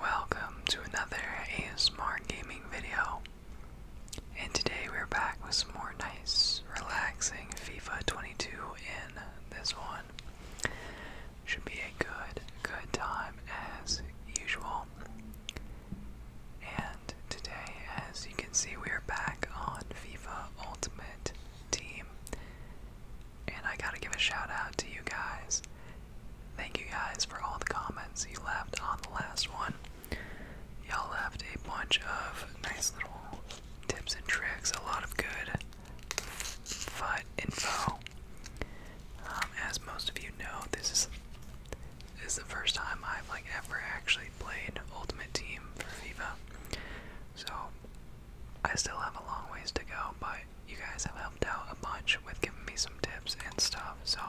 Welcome to another ASMR gaming video. And today we're back with some more nice, relaxing FIFA 22 in this one. Should be a good, good time as usual. And today, as you can see, we are back on FIFA Ultimate Team. And I gotta give a shout out to you guys. Thank you guys for all the comments you left on the last one. Y'all left a bunch of nice little tips and tricks, a lot of good FUD info. Um, as most of you know, this is this is the first time I've like ever actually played Ultimate Team for FIFA. So I still have a long ways to go, but you guys have helped out a bunch with giving me some tips and stuff. So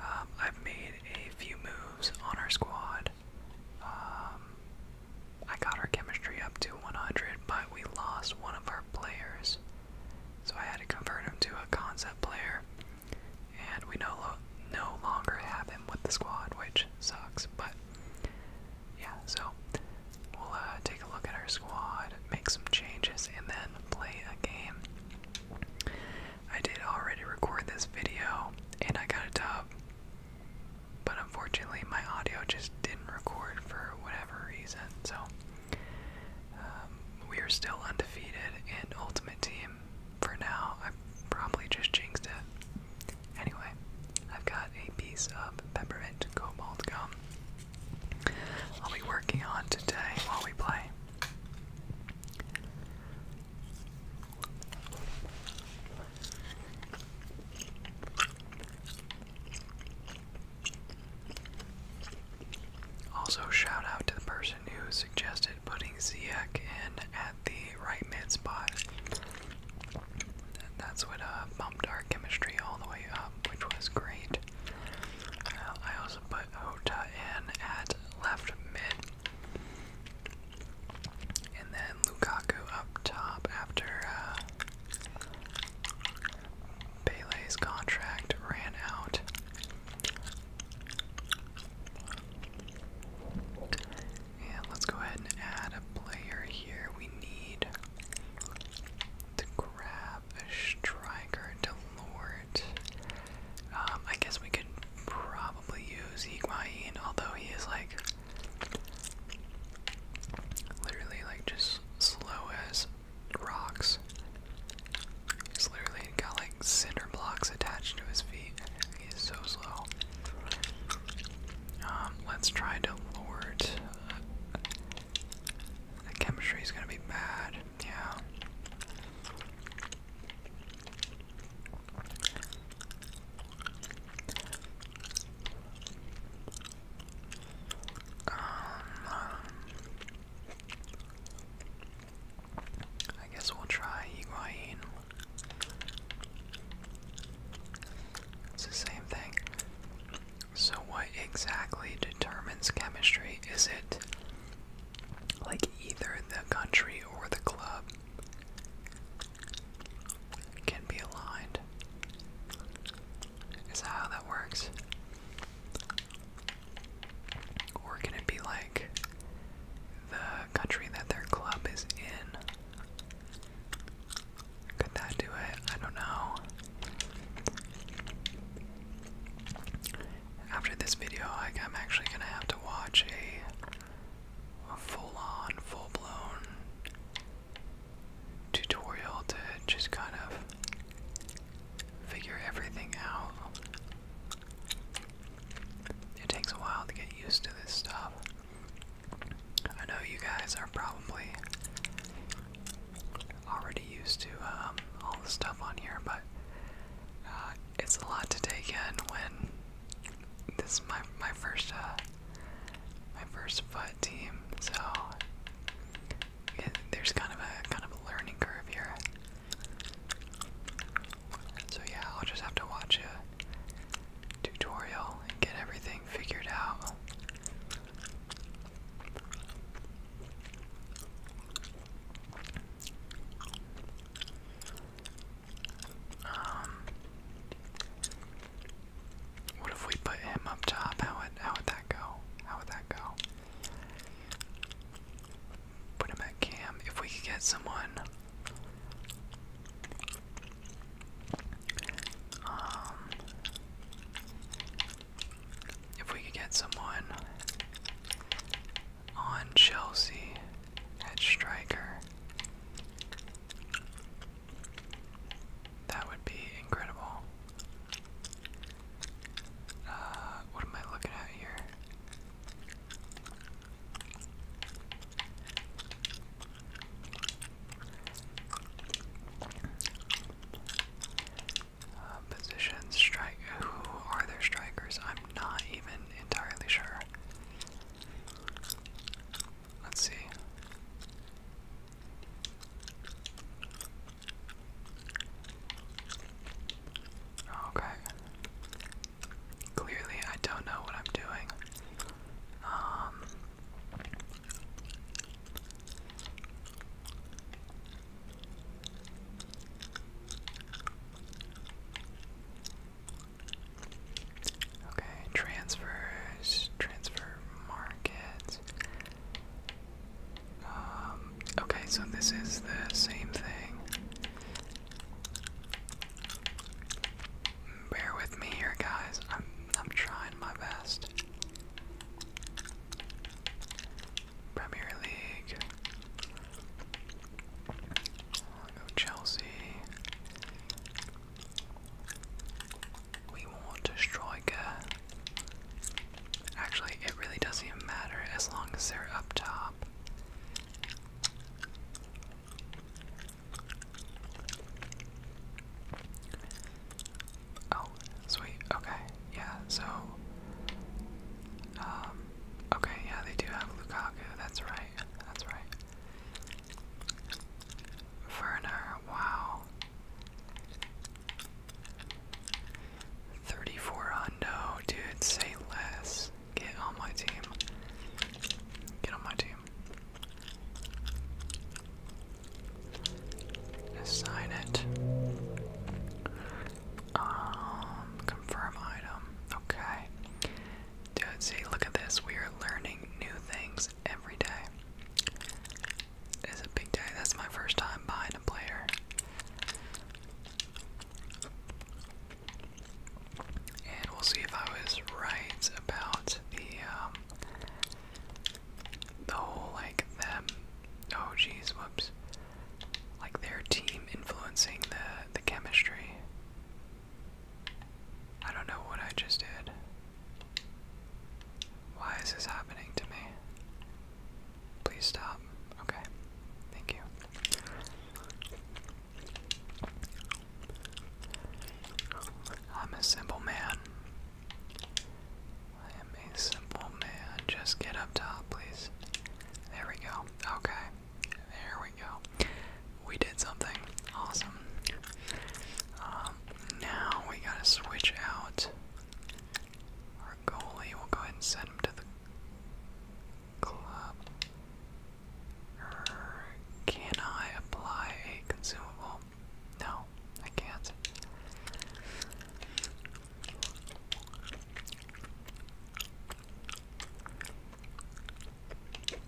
um, I've made a few moves on our squad. Um, I got our chemistry up to 100, but we lost one of our players. So I had to convert him to a concept player, and we no, no longer have him with the squad, which sucks. But yeah, so We'll uh, take a look at our squad, make some changes, and then play a game. I did already record this video, and I got a up, but unfortunately my audio just didn't record for whatever reason. So um, we are still undefeated in Ultimate Team for now. I probably just jinxed it. Anyway, I've got a piece of peppermint cobalt gum. I'll be working on today while we play. Also, shout out to the person who suggested putting Ziek in at the right mid spot that's what uh, bumped our chemistry all the way up, which was great. Uh, I also put Hota in at left mid. And then Lukaku up top after uh, contract ran out. And let's go ahead and add a player here. We need to grab a striker to Lord. Um, I guess we could probably use Higuain, although he is like literally like just slow as rocks. He's literally got like cinder blocks attached to his feet. He's so slow. Um, let's try to Lord the chemistry is gonna be bad. Yeah. Um, I guess we'll try Higuain. It's the same thing. So, what exactly determines chemistry? Is it like either the country or the club can be aligned? Is that how that works? Or can it be like the country that their club is in? Could that do it? I don't know. After this video, I, am actually gonna have to watch a full-on, full-blown tutorial to just kind of figure everything out. It takes a while to get used to this stuff. I know you guys are probably already used to um, all the stuff on here, but uh, it's a lot to take in when this is my my first uh, my first foot team, so there's kind of a kind of a learning curve here. So yeah, I'll just have to watch a tutorial and get everything figured out. Um, what if we put him up top? How would how would that go? How would that go? Put him at cam. If we could get someone um, if we could get someone on Chelsea at striker, that would be incredible. Uh, what am I looking at here? Uh, positions, strike. Who are their strikers? I'm not even entirely sure. Let's see. Okay. Clearly, I don't know what I'm doing. Um, Okay, transfers, transfer market. Um, okay, so this is the same thing bear with me here, guys. I'm I'm trying my best. Premier League. Chelsea. We want a striker. Actually, it really doesn't even matter as long as they're up top. Oh, sweet. Okay, yeah. So, um, okay, yeah, they do have Lukaku. That's right. That's right. Werner, wow. 34 hundo, dude, say less. Get on my team. Get on my team. Assign it. Um, confirm item. Okay. Dude, look at this. We are learning new things every day. It's a big day. That's my first time buying a player. And we'll see if I was right about the um, the whole like them oh jeez, whoops. Like their team influencing the the chemistry. I don't know what I just did. Why is this happening to me? Please stop. Okay. Thank you. I'm a simple man. I am a simple man. Just get up top, please. There we go. Okay. There we go. We did something. Awesome. Um, now we gotta switch out our goalie. We'll go ahead and send him to the club. Er, can I apply a consumable? No, I can't. Okay.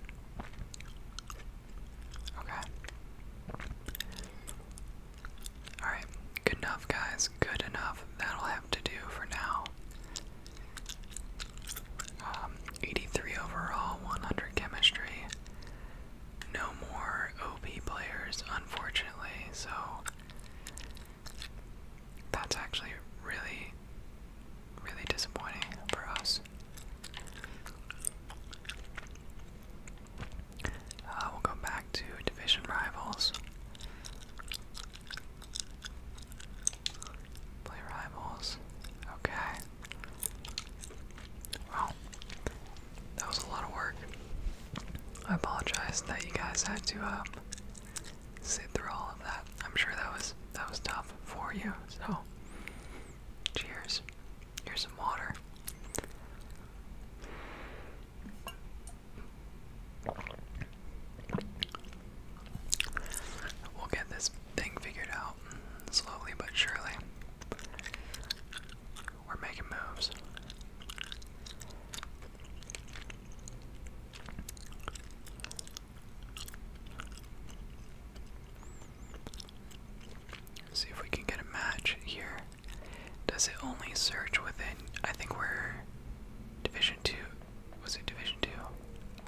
Alright, good enough, guys. Good enough. That'll have to do for now. Um, 83 overall, 100 chemistry no more OP players, unfortunately, so that's actually really, really disappointing for us. Uh, we'll go back to division rivals. Play rivals. Okay. Wow. That was a lot of work. I apologize that you guys had to uh, sit through all of that. I'm sure that was that was tough for you. So, cheers. Here's some water. We'll get this thing figured out slowly but surely. We're making moves. See if we can get a match here. Does it only search within? I think we're Division 2. Was it Division 2?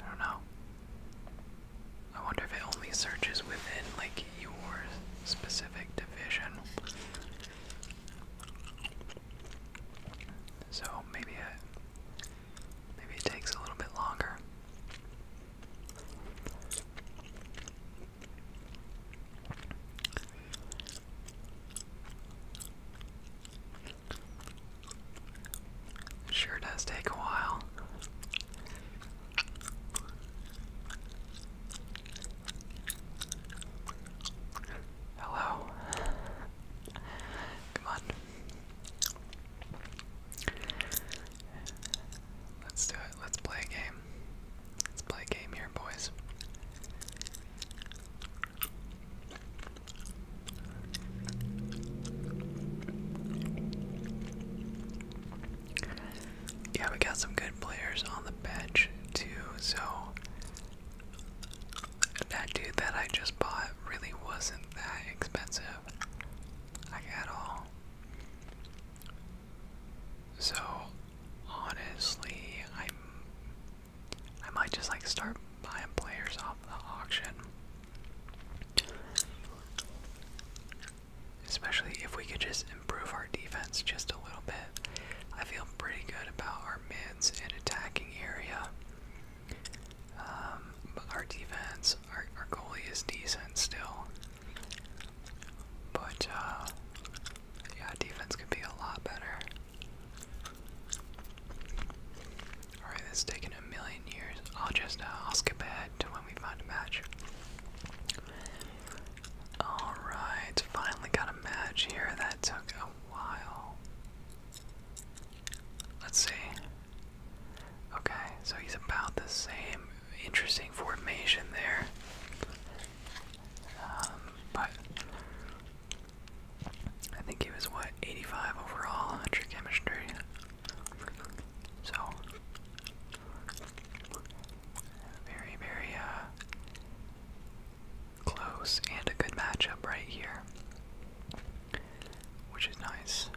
I don't know. I wonder if it only searches within like your specific division. So maybe it maybe it takes a little bit longer. sure does take a while. Hello. Oh, Come on. Let's do it. Let's play a game. Let's play a game here, boys. Yeah, we got some good players on the bench too, so that dude that I just bought really wasn't that expensive. Like at all. So honestly, I'm I might just like start buying players off the auction. Especially if we could just improve our defense just a little bit. I feel pretty good about our mids and attacking area. Um, but our defense, our, our goalie is decent still. But, uh, yeah, defense could be a lot better. Alright, this is taking a million years. I'll just, uh, I'll skip ahead to when we find a match. Alright, finally got a match here. That took a while. Let's see. Okay, so he's about the same. Interesting formation there. Um, but I think he was what 85 overall, 100 chemistry. So, very, very uh, close and a good matchup right here, which is nice.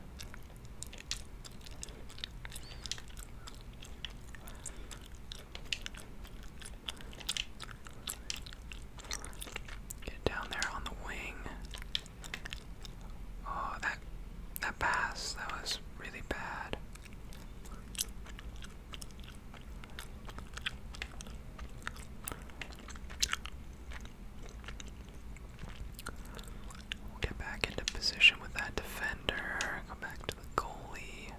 Get down there on the wing. Oh, that that pass, that was really bad. get back into position with that defender. Go back to the goalie.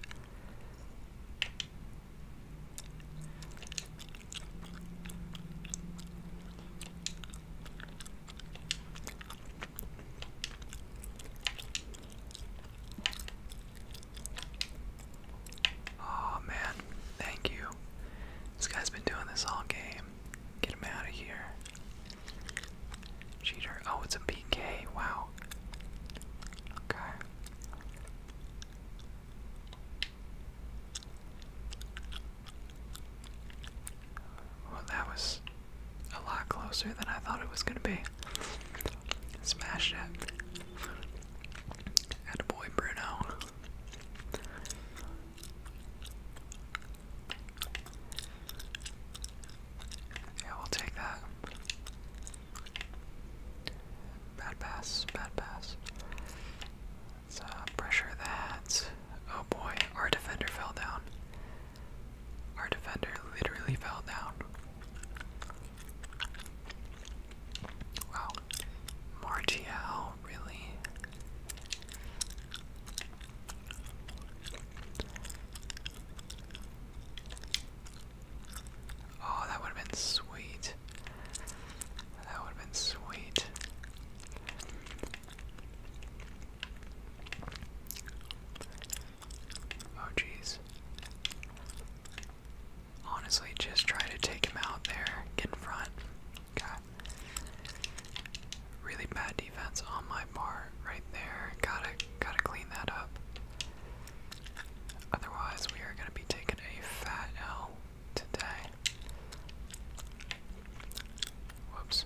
Oh man, thank you. This guy's been doing this all game. Get him out of here. Cheater. Oh, it's a PK. Wow. Okay. Well, that was a lot closer than I thought it was gonna be. Smash it. Attaboy, Bruno. Yeah, we'll take that. Bad pass, bad pass. Let's uh, pressure that. Oh boy, our defender fell down. Our defender literally fell down. Wow. Martial, really? Oh, that would have been sweet. That would have been sweet. Oh, jeez. Honestly, just try to take him out there. Get in front. Really bad defense on my bar right there. Gotta, gotta clean that up. Otherwise, we are gonna be taking a fat L today. Whoops.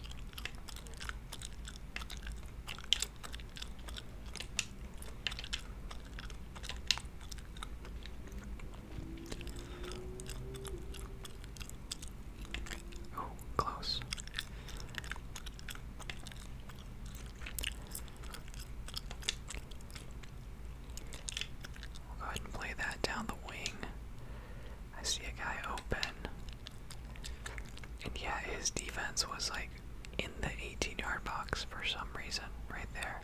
Oh, close. go ahead and play that down the wing. I see a guy open. And yeah, his defense was like in the 18 yard box for some reason, right there.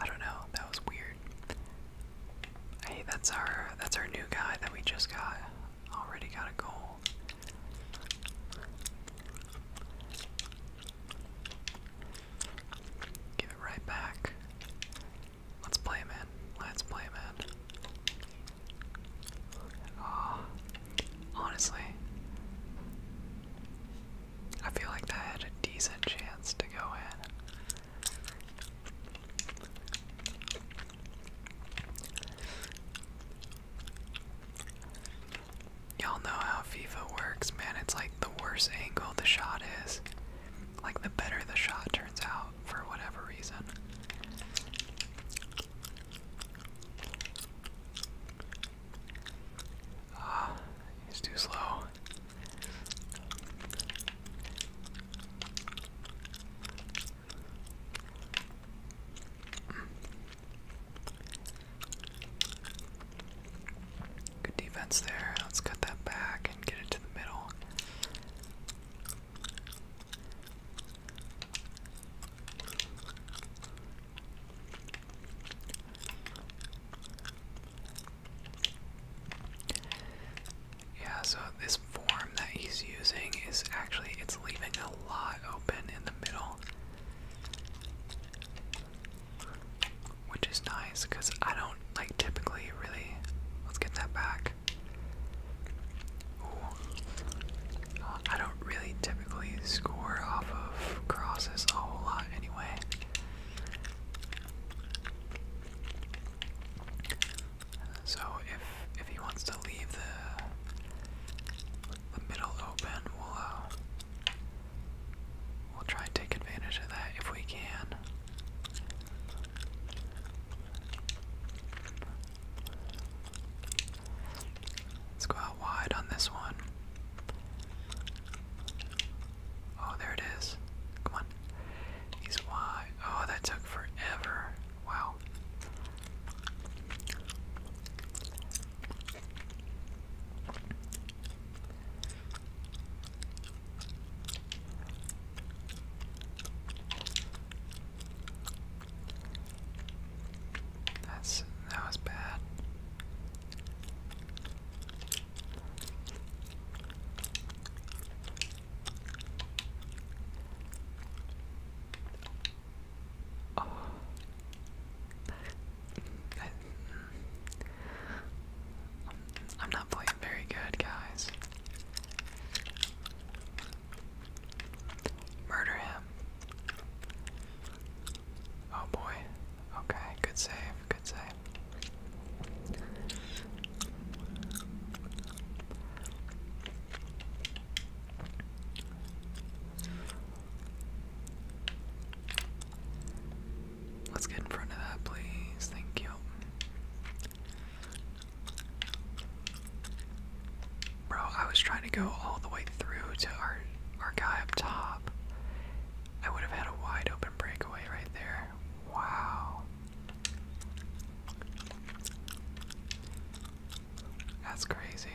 I don't know, that was weird. Hey, that's our that's our new guy that we just got. Already got a goal. Give it right back. Let's play, man. Let's play, man. Ah, honestly, I feel like that had a decent chance to go in. Y'all know how FIFA works, man. It's like the worse angle the shot is, like the better the shot turns out for whatever reason. Ah, he's too slow. Good defense there. Let's cut that back and get it to the middle. Yeah, so this form that he's using is actually it's leaving a lot open in the middle. Which is nice because I don't like typically really let's get that back. I don't really typically score off of crosses a whole lot anyway. So if if he wants to leave the the middle open, we'll uh, we'll try and take advantage of that if we can. Let's go out wide on this one. Oh, there it is. Come on. He's wide. Oh, that took forever. Wow. That's that was bad. Oh. Mm. I'm not playing very good, guys. Murder him. Oh boy. Okay, good save, good save. Let's get in front of that, please. Thank you. Bro, I was trying to go all the way through to our our guy up top. I would have had a wide open breakaway right there. Wow. That's crazy.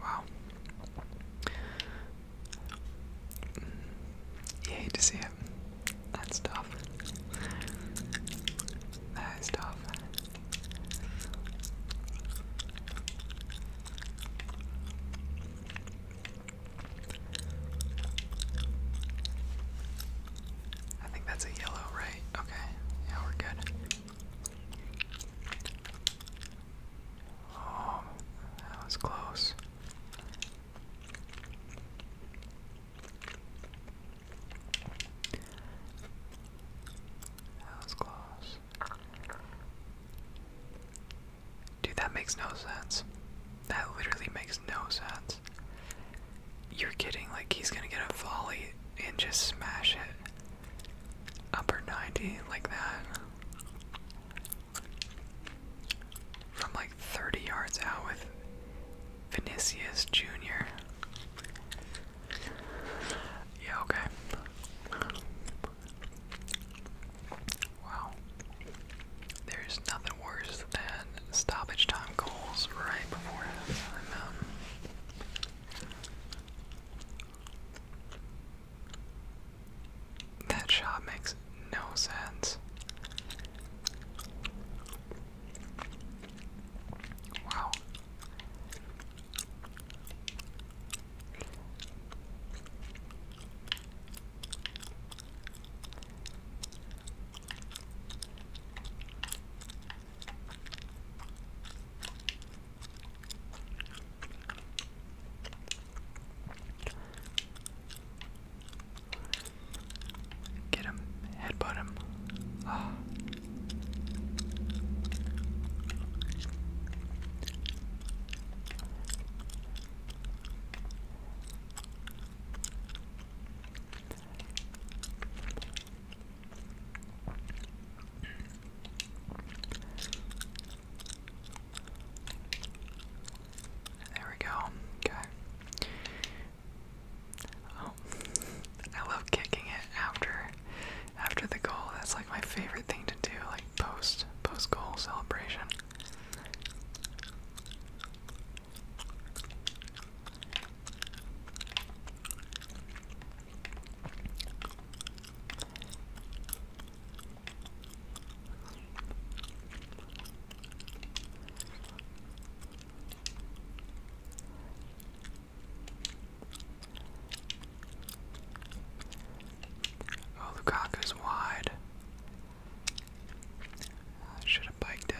Wow. You hate to see it. That's tough. That is tough. I think that's a yellow, right? Okay. Yeah, we're good. Oh, that was close. That was close. Dude, that makes no sense. That literally makes no sense. You're kidding, like, he's gonna get a volley and just smash it upper 90 like that from like 30 yards out with Vinicius Jr. Yeah, okay. Wow. There's nothing worse than stoppage time goals right before halftime. Um, that shot makes no sense. Wow. Get him, headbutt him. Ah. There we go. Okay. Oh, I love kicking it after after the goal. That's like my favorite thing to do, like post post goal celebration. Oh, Lukaku's wide. I should have biked it.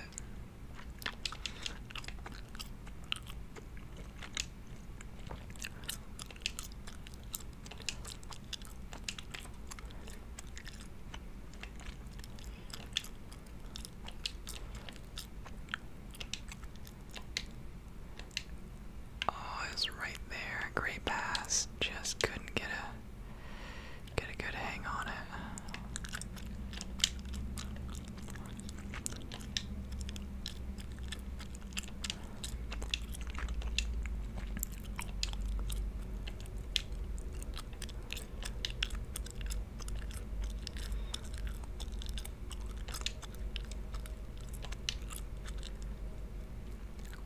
Oh, it's right there. Great pass. Just couldn't get a get a good hang on it.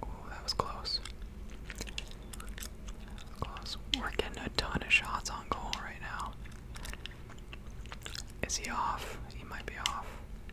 Ooh, that was Close. We're getting a ton of shots on goal right now. Is he off? He might be off.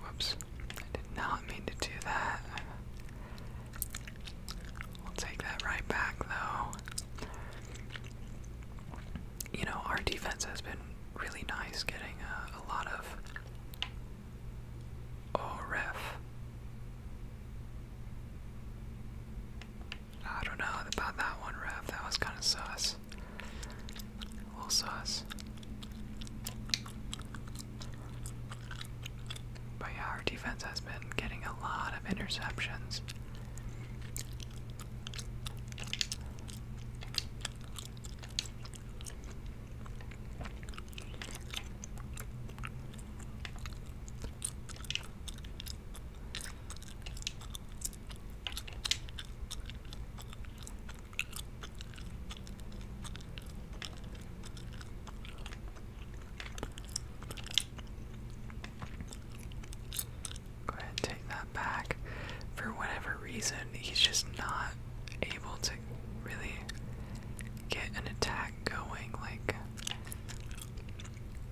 Whoops. I did not mean to do that. We'll take that right back, though. You know, our defense has been really nice getting uh, a, lot of. Oh, ref. I don't know about that one, ref. That was kind of sus. little sus. But yeah, our defense has been getting a lot of interceptions. Go ahead and take that back. For whatever reason, he's just not able to really get an attack going. Like,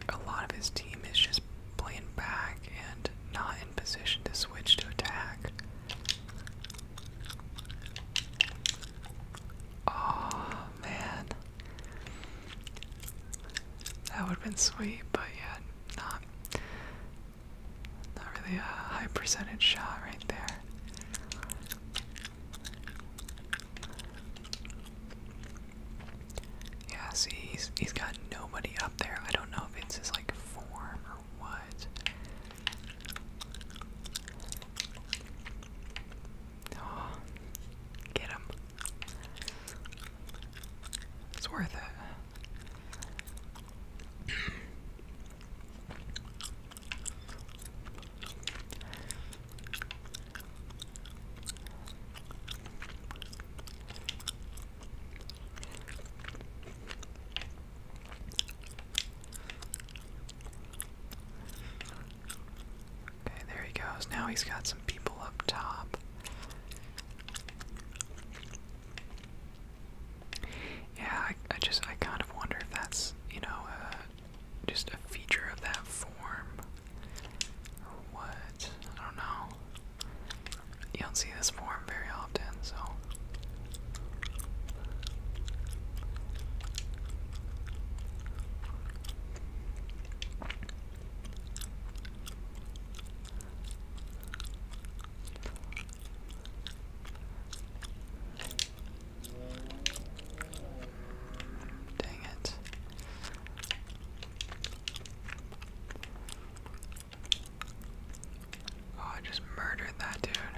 a lot of his team is just playing back and not in position to switch to attack. Oh man. That would have been sweet, but yeah, not not really a high percentage shot right there. Yeah, see, he's, he's got nobody up there. I don't know if it's his like form or what. Oh, get him. It's worth it. Okay, there he goes. Now he's got some people up top. Yeah, I, I just I kind of wonder if that's you know uh, just a feature of that form or what. I don't know. You don't see this form very often, so Dang it. Oh, I just murdered that dude.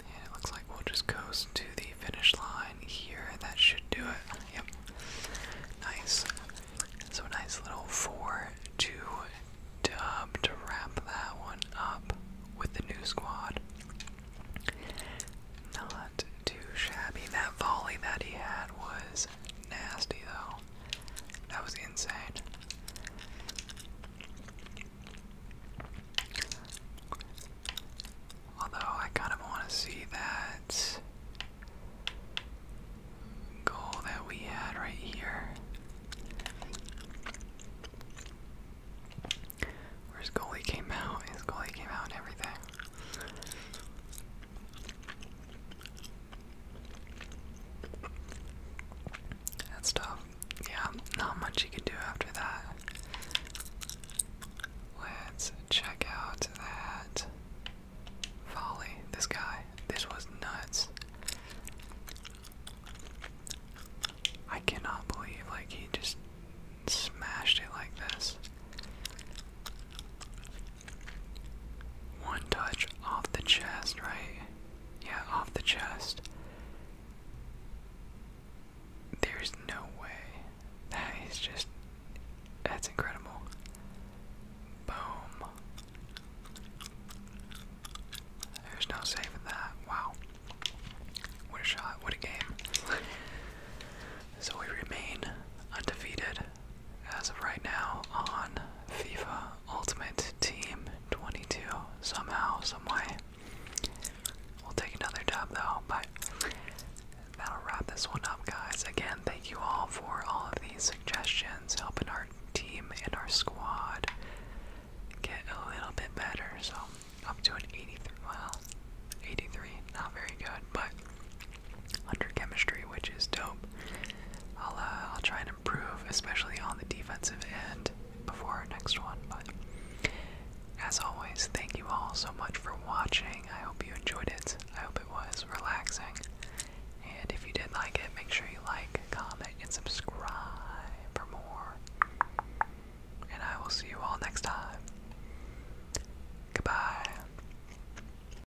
it looks like we'll just coast to the finish line here, that should do it. Yep. Nice. So, nice little 4 2 dub to wrap that one up with the new squad. Not too shabby. That volley that he had was nasty, though. That was insane. Although I kind of want to see that goal that we had right here. Where his goalie came out, his goalie came out and everything. That's tough. Yeah, not much you can do after that. Let's check out that folly. This guy, this was nuts. I cannot believe like he just smashed it like this. One touch off the chest, right? Yeah, off the chest. There's no way. That is just. That's incredible. Boom. There's no saving that. Wow. What a shot. What a game. so we remain undefeated as of right now on FIFA Ultimate Team 22 somehow, someway. We'll take another dub though, but that'll wrap this one up, guys. Again, thank you all for all of these suggestions, helping our team and our squad get a little bit better. So, up to an 83, well, 83, not very good, but under chemistry, which is dope. I'll uh, I'll try and improve, especially on the defensive end, before our next one. But as always, thank you all so much for watching. I hope you enjoyed it. I hope it was relaxing. And if you did like it, make sure you like, comment, and subscribe for more. And I will see you all next time. Goodbye.